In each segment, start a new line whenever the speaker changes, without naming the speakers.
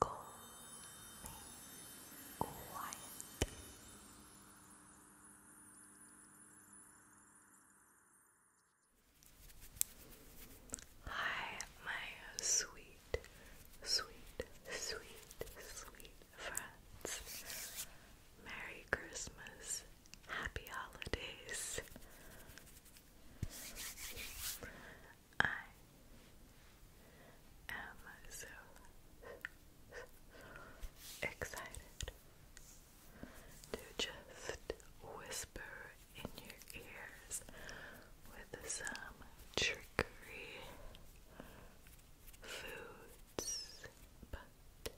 Go me quiet. Hi, my sweet, sweet, sweet, sweet friends. Merry Christmas. Happy holidays. I am so excited to just whisper in your ears with some trickery foods, but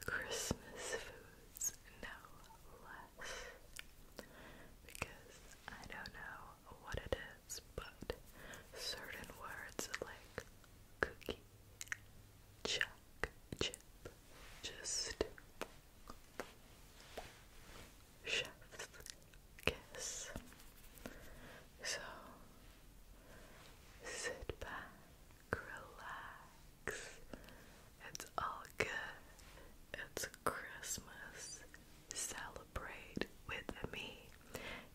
Christmas foods no less because I don't know what it is, but certain words like cookie, chuck, chip, just chef's kiss. So sit back, relax. It's all good. It's Christmas. Celebrate with me.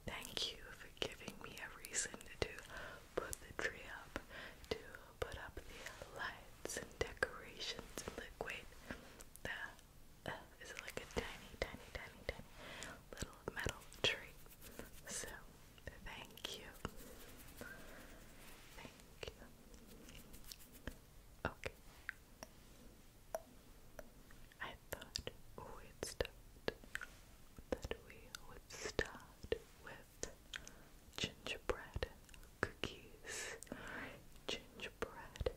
Thank you for giving me a reason to put the tree up, to put up the lights and decorations and liquid. The uh, is like a tiny, tiny, tiny, tiny little metal tree? So thank you. Thank you. Okay. I thought we'd start that we would start with gingerbread cookies. Gingerbread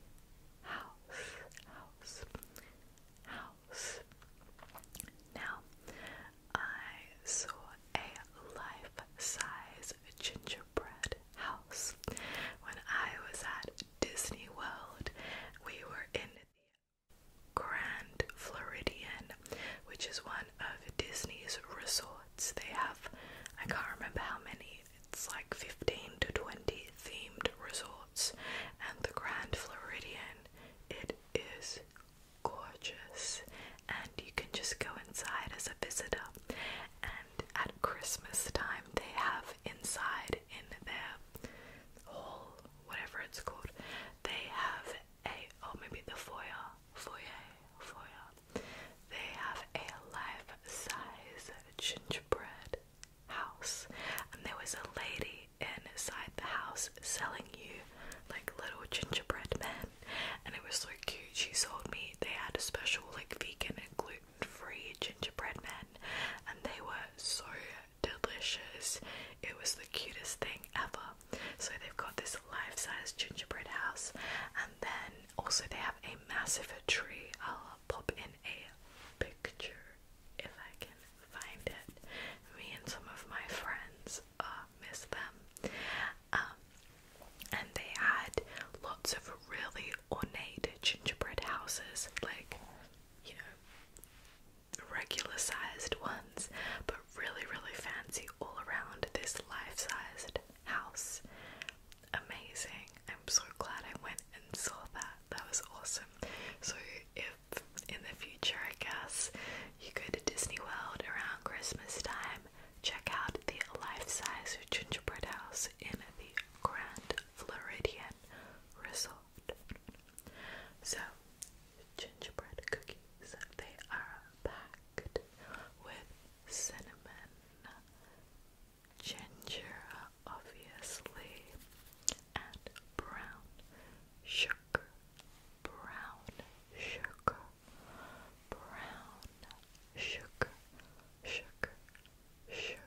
house, house, house. Now, I saw a life size gingerbread gingerbread house. When I was at Disney World, we were in the Grand Floridian, which is one of Disney's resorts. They have, I can't remember how many, it's like 15 to 20 themed resorts, and the Grand Floridian, it is gorgeous, and you can just go inside as a visitor and at Christmas time they have inside in their hall, whatever it's called, they have a or oh, maybe the foyer, foyer, foyer. They have a life-size gingerbread house, and there was a lady inside the house selling you like little gingerbread men and it was so cute. She sold me, they had a special like vegan and gluten free gingerbread man, and they were so delicious. It was the cutest thing ever. So they've got this life size gingerbread house, and then also they have a massive tree. I'll pop in a picture if I can find it. Me and some of my friends uh, miss them. Um, and they had lots of really ornate gingerbread houses, like, you know, regular sized ones, but really, really fancy all around this life sized house. Amazing. I'm so glad I went and saw that. That was awesome. So, if in the future, I guess, you go to Disney World around Christmas time, Check out the life-size gingerbread house in the Grand Floridian Resort. So, gingerbread cookies, they are packed with cinnamon, ginger, obviously, and brown sugar, brown sugar brown sugar, sugar, sugar,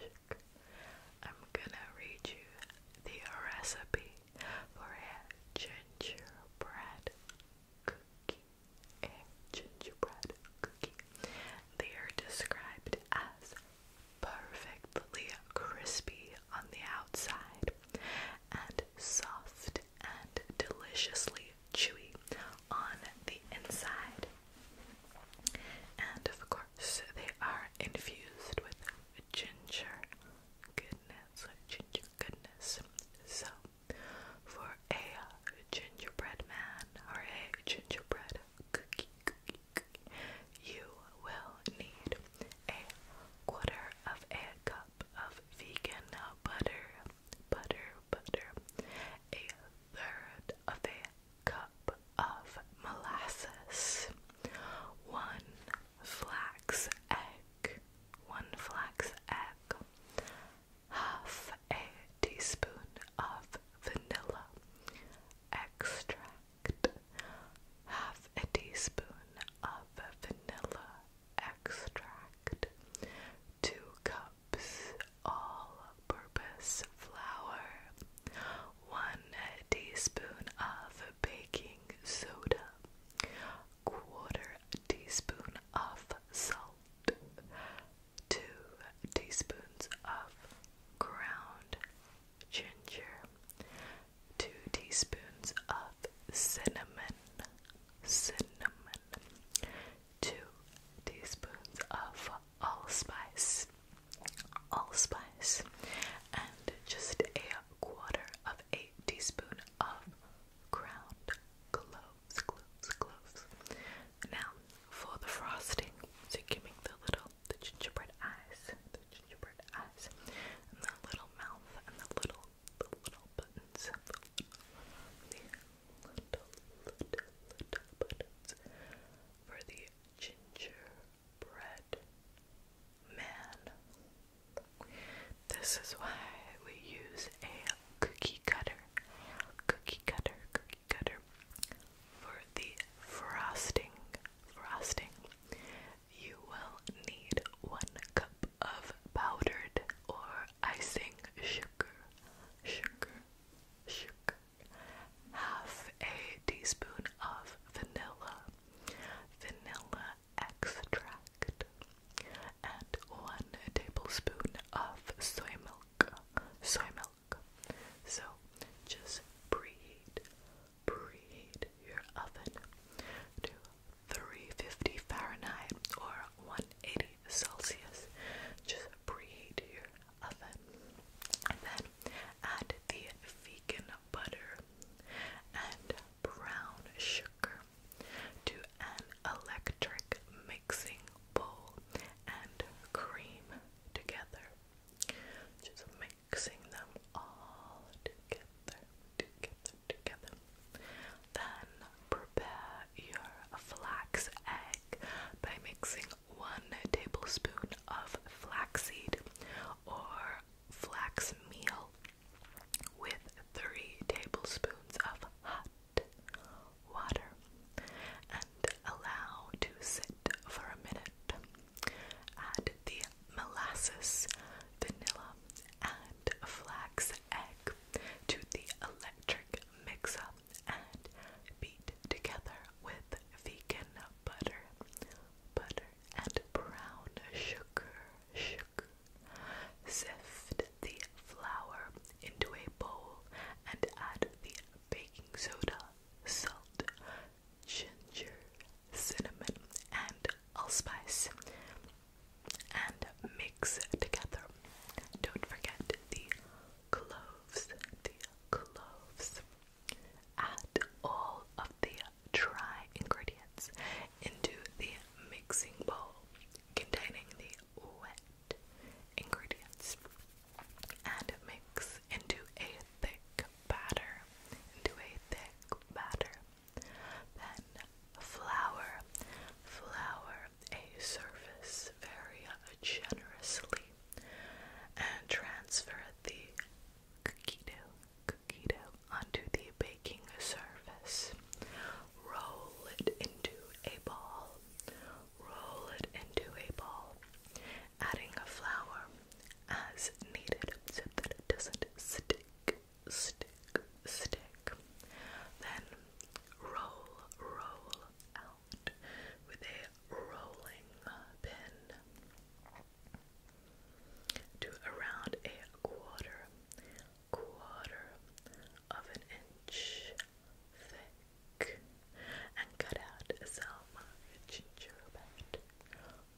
sugar. I'm gonna read you the recipe for a gingerbread cookie. A gingerbread cookie. They are described as perfectly crispy on the outside and soft and deliciously chewy on the inside. And of course, they are infused with ginger goodness, ginger goodness. So, for a gingerbread man or a gingerbread cookie, cookie, cookie you will need a quarter of a cup of vegan butter, butter, butter, a third of a cup of molasses, one flax egg, one flax egg, half a teaspoon of vanilla extract, half a teaspoon of vanilla extract, two cups all-purpose flour, one teaspoon of baking soda, quarter teaspoon of salt, two teaspoons of ground ginger, two teaspoons of cinnamon, cinnamon, 2 teaspoons of allspice allspice and just a quarter of a teaspoon of ground cloves cloves cloves now for the frosting so give me the little the gingerbread eyes the gingerbread eyes and the little mouth and the little the little buttons, the little, little, little buttons for the gingerbread man. This is why we use a cookie cutter, cookie cutter, cookie cutter for the frosting. Frosting. You will need one cup of powdered or icing sugar, sugar, sugar, half a teaspoon of vanilla, vanilla extract, and one tablespoon of soy milk, soy milk. So just preheat, preheat your oven 350 Fahrenheit or 180 Celsius. Just preheat your oven. then add the vegan butter and brown sugar to an electric mixing bowl and cream together. Just mixing them all together, then prepare your flax egg by mixing 1 tablespoon of flaxseed or flax meal with 3 tablespoons of hot water and allow to sit for a minute. Add the molasses, vanilla, and flax egg to the electric mixer and beat together with vegan butter, butter and brown sugar, sugar. Sift the flour into a bowl and add the baking soda, salt, ginger, cinnamon, and allspice and mix together. Don't forget the cloves, the cloves. Add all of the dry ingredients into the mixing bowl containing the wet ingredients and mix into a thick batter. Into a thick batter. Then flour, flour a surface very generously and transfer the cookie dough, cookie dough onto the baking surface. Roll it into a ball. Roll it into a ball, adding flour as needed so that it doesn't stick stick, stick. Then roll, roll out with a rolling pin to around a quarter, quarter of an inch thick and cut out some ginger bread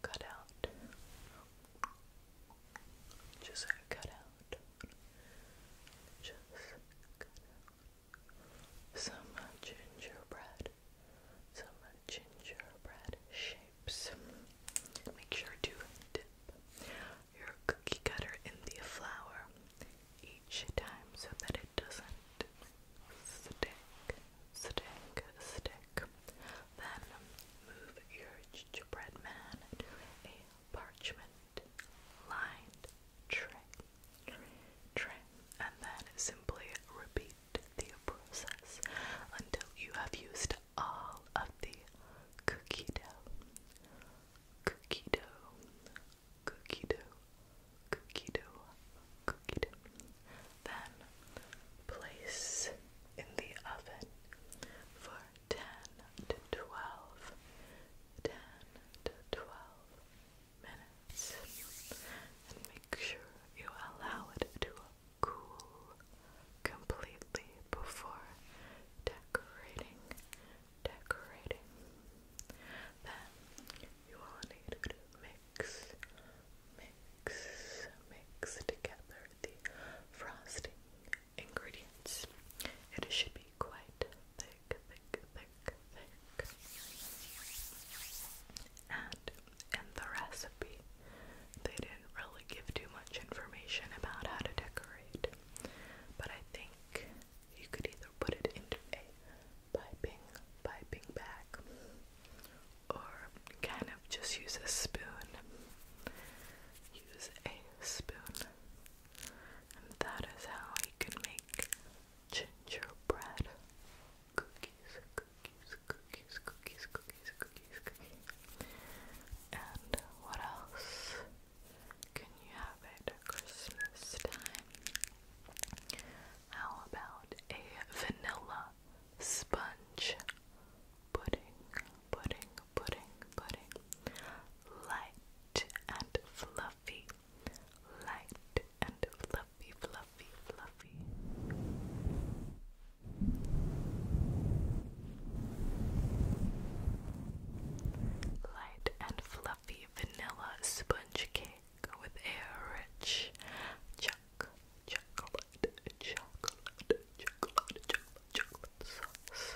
cut out. Just cut out. Just cut out. Some gingerbread. Some uh, gingerbread shapes. Make sure to dip your cookie cutter in the flour each time so that it doesn't stick, stick, stick. Then move your gingerbread man do a parchment lined tray, tray, and then simply repeat the process until you have used all of the cookie dough, cookie dough, cookie dough, cookie dough, cookie dough. Then Place in the oven for 10 to 12, to 12 minutes. And make sure you allow it to cool completely before decorating. Decorating. Then you will need mix, mix, mix together the frosting ingredients. It should be quite thick, thick, thick, thick. And in the recipe, they didn't really give too much information about how to decorate, but I think you could either put it into a piping, piping bag or kind of just use a spoon. Use a spoon. And that is how you can make gingerbread cookies, cookies, cookies, cookies, cookies, cookies, cookies. And what else can you have at Christmas time? How about a vanilla sponge pudding, pudding, pudding, pudding. Light and fluffy, light and fluffy, fluffy, fluffy. Light and fluffy vanilla sponge cake with a rich chocolate, chocolate, chocolate, chocolate, sauce,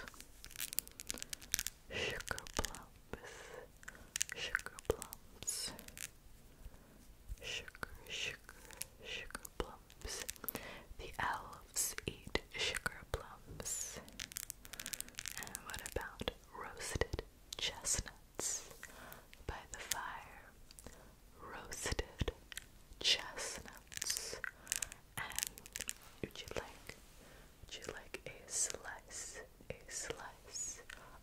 sugar plums, sugar plums, sugar, sugar, sugar plums. The elves eat sugar plums. And what about roasted chestnuts by the fire? roasted chestnuts. And would you like would you like a slice a slice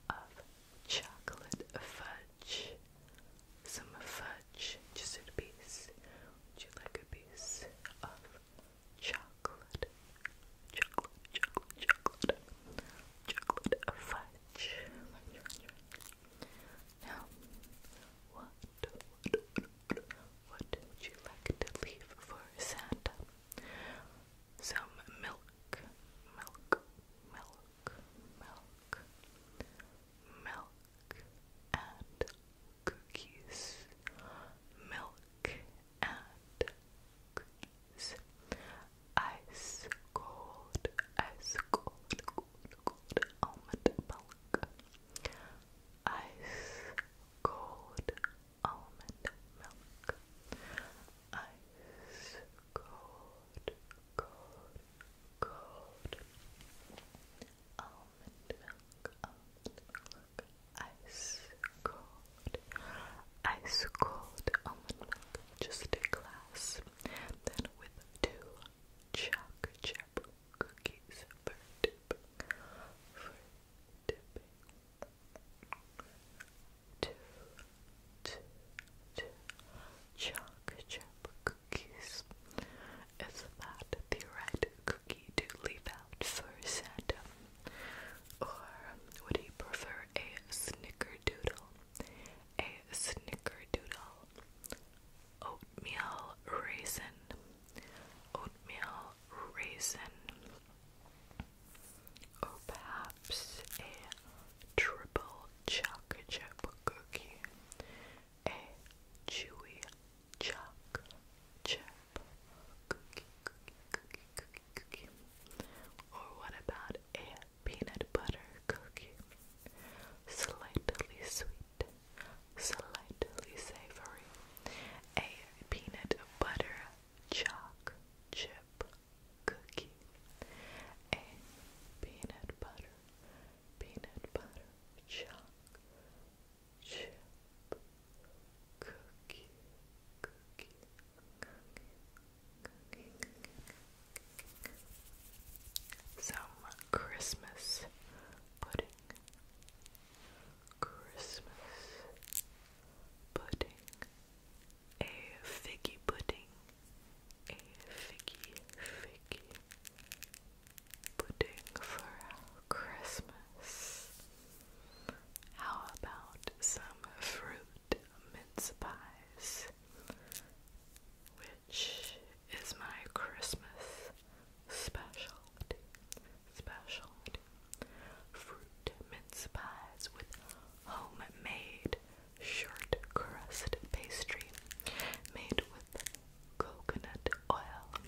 of chocolate fudge? Some fudge, just a piece. Would you like a piece of chocolate? Chocolate, chocolate, chocolate, chocolate fudge. Now, what, what, would you like to leave for Santa? Some milk, milk, milk, milk, milk, and cookies. Milk and cookies. Ice cold, ice cold, cold, almond milk. Ice cold almond milk. Ice cold, cold, cold almond milk. Ice cold, ice cold almond milk. Just a glass. Then with two chocolate chip cookies for dipping, for dipping. Two, two, two chocolate chip cookies. Is that the right cookie to leave out for Santa? Or would he prefer a snickerdoodle? A snickerdoodle oatmeal raisin, oatmeal raisin, or oh, perhaps a triple chocolate chip cookie, a chewy chocolate chip cookie, cookie, cookie, cookie, cookie, or what about a peanut butter cookie. Slightly sweet, slightly savory. A peanut butter chalk chip cookie. A peanut butter, peanut butter chalk chip cookie, cookie, cookie. Some Christmas pudding. Christmas pudding. A figgy pudding. A figgy figgy pudding for Christmas. How about some fruit mince pies? which is my Christmas specialty. Specialty fruit mince pies with homemade short crust pastry made with coconut oil.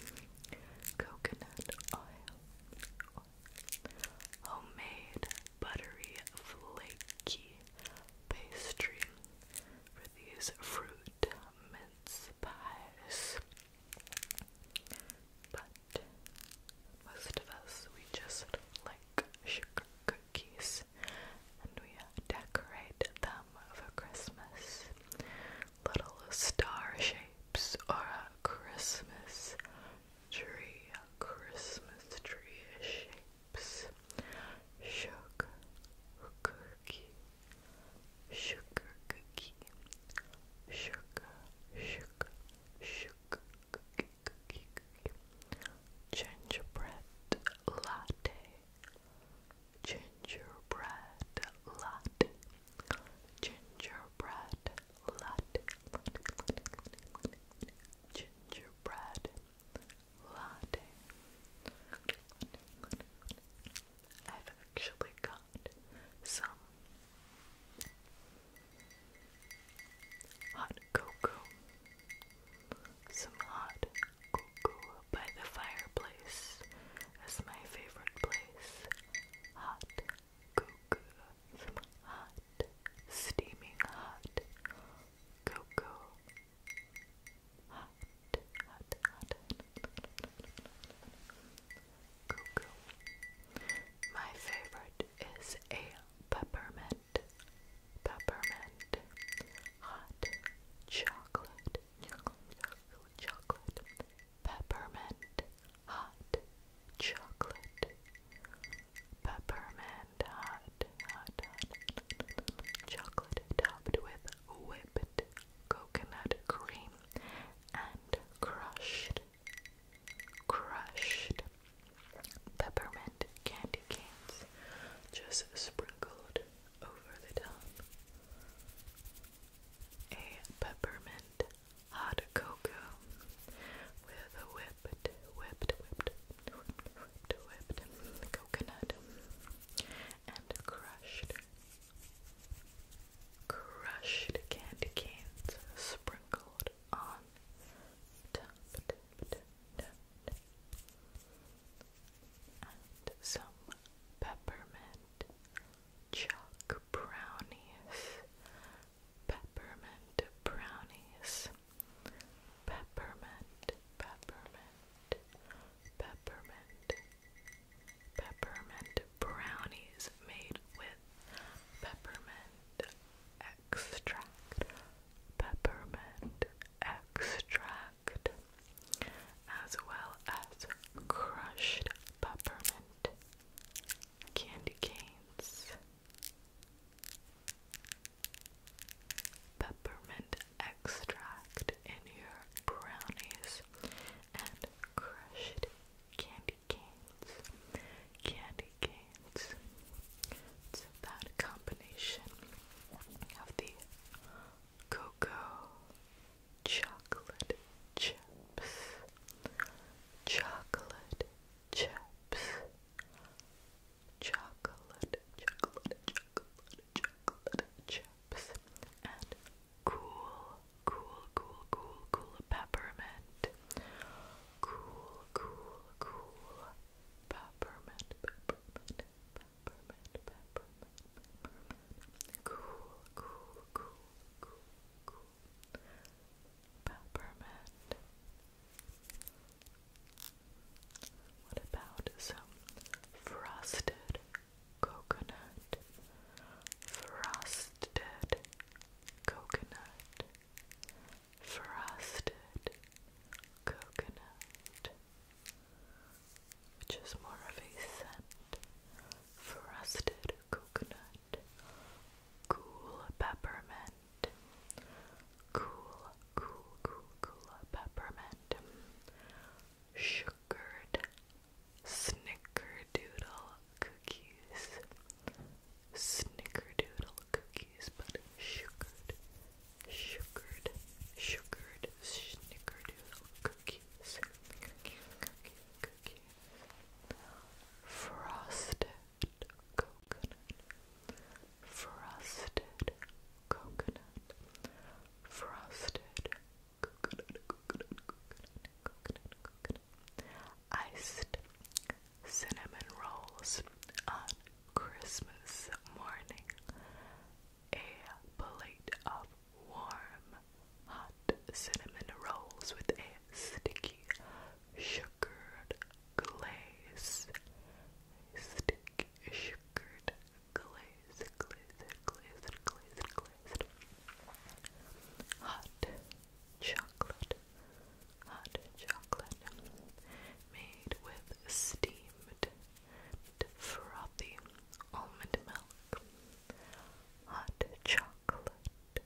Coconut oil. oil. Homemade buttery flaky pastry for these fruit mince pies. But most of us, we just like sugar cookies and we decorate them for Christmas. Little star shapes or a Christmas tree, Christmas tree shape chips, sugar cookie, sugar cookie, sugar, sugar, sugar cookie, cookie, cookie, gingerbread latte, gingerbread latte, gingerbread latte, gingerbread latte. I've actually got some hot cocoa, some hot cocoa by the fireplace as my favorite place. Hot cocoa, some hot, steaming hot cocoa hot, hot, hot, cuckoo. My favorite is a peppermint, peppermint, hot chocolate, chocolate, chocolate, peppermint, hot chocolate, peppermint hot, hot, hot chocolate topped with whipped coconut cream and crushed, crushed peppermint candy canes just sprinkled over the top. A peppermint hot cocoa with a whip whipped, whipped, whipped, whipped, whipped, coconut and crushed, crushed candy canes sprinkled on top, top, top, and some peppermint chalk brownies. Peppermint brownies peppermint, peppermint, peppermint, peppermint brownies made with peppermint extract, peppermint extract, as well as crushed peppermint candy canes peppermint extract in your brownies, and crushed candy canes. Candy canes. that combination of the cocoa chocolate chips. Chocolate chips, chocolate, chocolate, chocolate, chocolate chips, and cool, cool, cool, cool, cool peppermint, cool, cool, cool peppermint, peppermint, peppermint, peppermint, cool, cool, cool, cool, cool peppermint. What about some frosted coconut? Frosted coconut. Frosted coconut. Which is more of a scent. Frosted coconut. Cool peppermint. Cool, cool, cool, cool uh, peppermint. Sugared snickerdoodle cookies. Snickerdoodle cookies, but sugared, sugared, sugared snickerdoodle cookies. Frosted coconut, frosted coconut, frosted coconut, coconut, coconut, coconut, coconut, iced cinnamon rolls on Christmas morning, a plate of warm, hot cinnamon rolls with a sticky sugared glaze, sticky sugared glaze, glazed, glazed, glazed, glazed, hot chocolate, hot chocolate, made with steamed frothy almond milk, hot chocolate.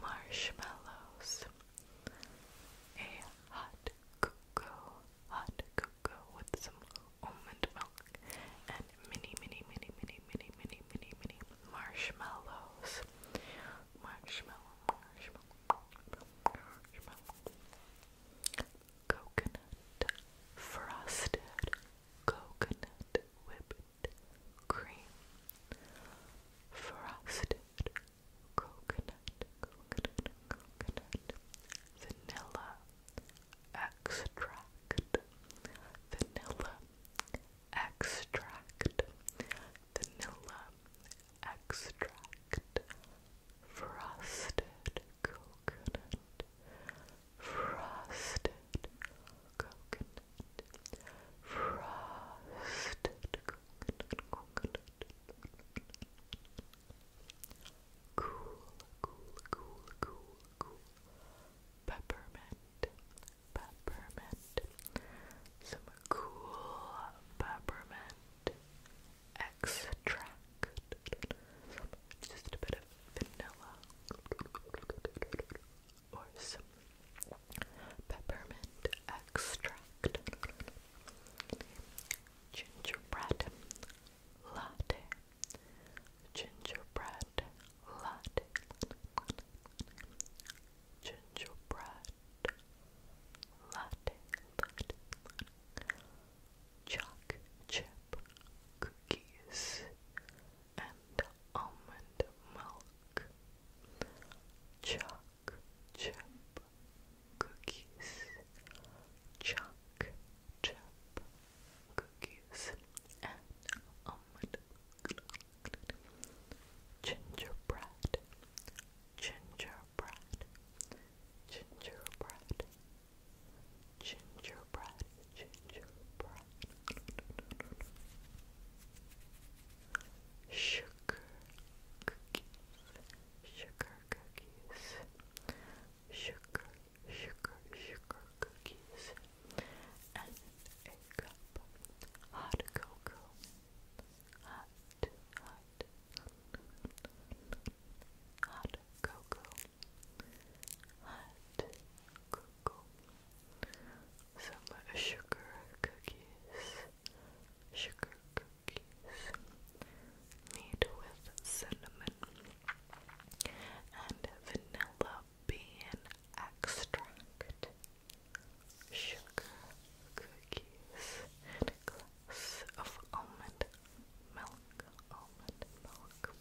Marshmallows. A hot cocoa, hot cocoa with some almond milk and mini, mini, mini, mini, mini, mini, mini, mini marshmallows. Marshmallow, marshmallow, marshmallow. Coconut, frosted coconut whipped cream, frosted coconut, coconut, coconut, vanilla extract, vanilla extract, vanilla extract, frosted coconut, frosted coconut. Frosted coconut, Cool, cool, cool, cool, Peppermint, peppermint. Some cool peppermint extract. just a bit of vanilla or some peppermint extract, gingerbread latte, gingerbread latte, gingerbread latte, latte, choc chip cookies and almond milk, chalk chip cookies, chalk chip cookies, and almond milk, gingerbread, gingerbread, gingerbread, gingerbread, gingerbread, sugar cookies, sugar cookies, sugar, sugar, sugar cookies, and a cup hot cocoa, hot, hot, hot cocoa, hot cocoa some sugar cookies, sugar cookies made with cinnamon and vanilla bean extract, sugar cookies, and a glass of almond milk, almond milk,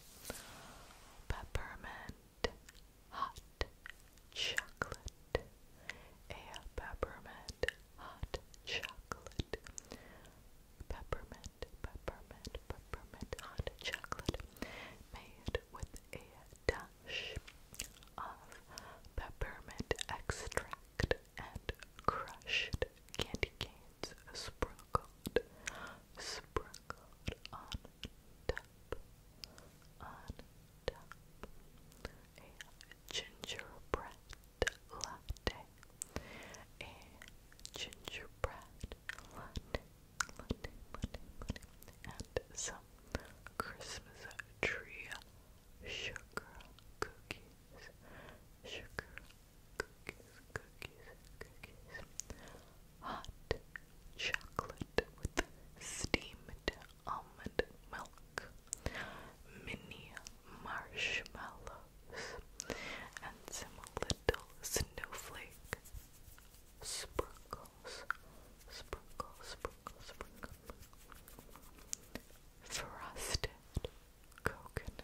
peppermint hot chocolate, a peppermint hot chocolate, peppermint, peppermint, peppermint hot chocolate made with a dash of peppermint extract and crushed candy canes sprinkled, sprinkled on top, on top, a gingerbread latte, a gingerbread latte, latte, latte, latte, and some Christmas tree sugar cookies, sugar cookies, cookies, cookies hot chocolate with steamed almond milk, mini marshmallows, and some little snowflake sprinkles. Sprinkle, sprinkle, sprinkle. Frosted coconut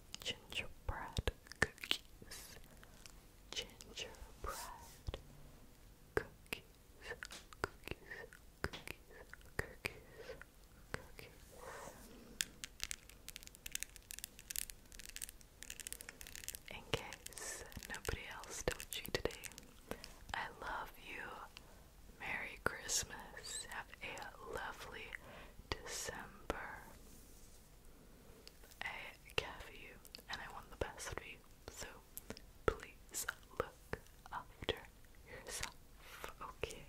gingerbread cookies, gingerbread cookies, cookies, cookies, cookies, cookies. In case nobody else told you today, I love you. Merry Christmas. Have a lovely December. I care for you and I want the best for you, so please look after yourself, okay?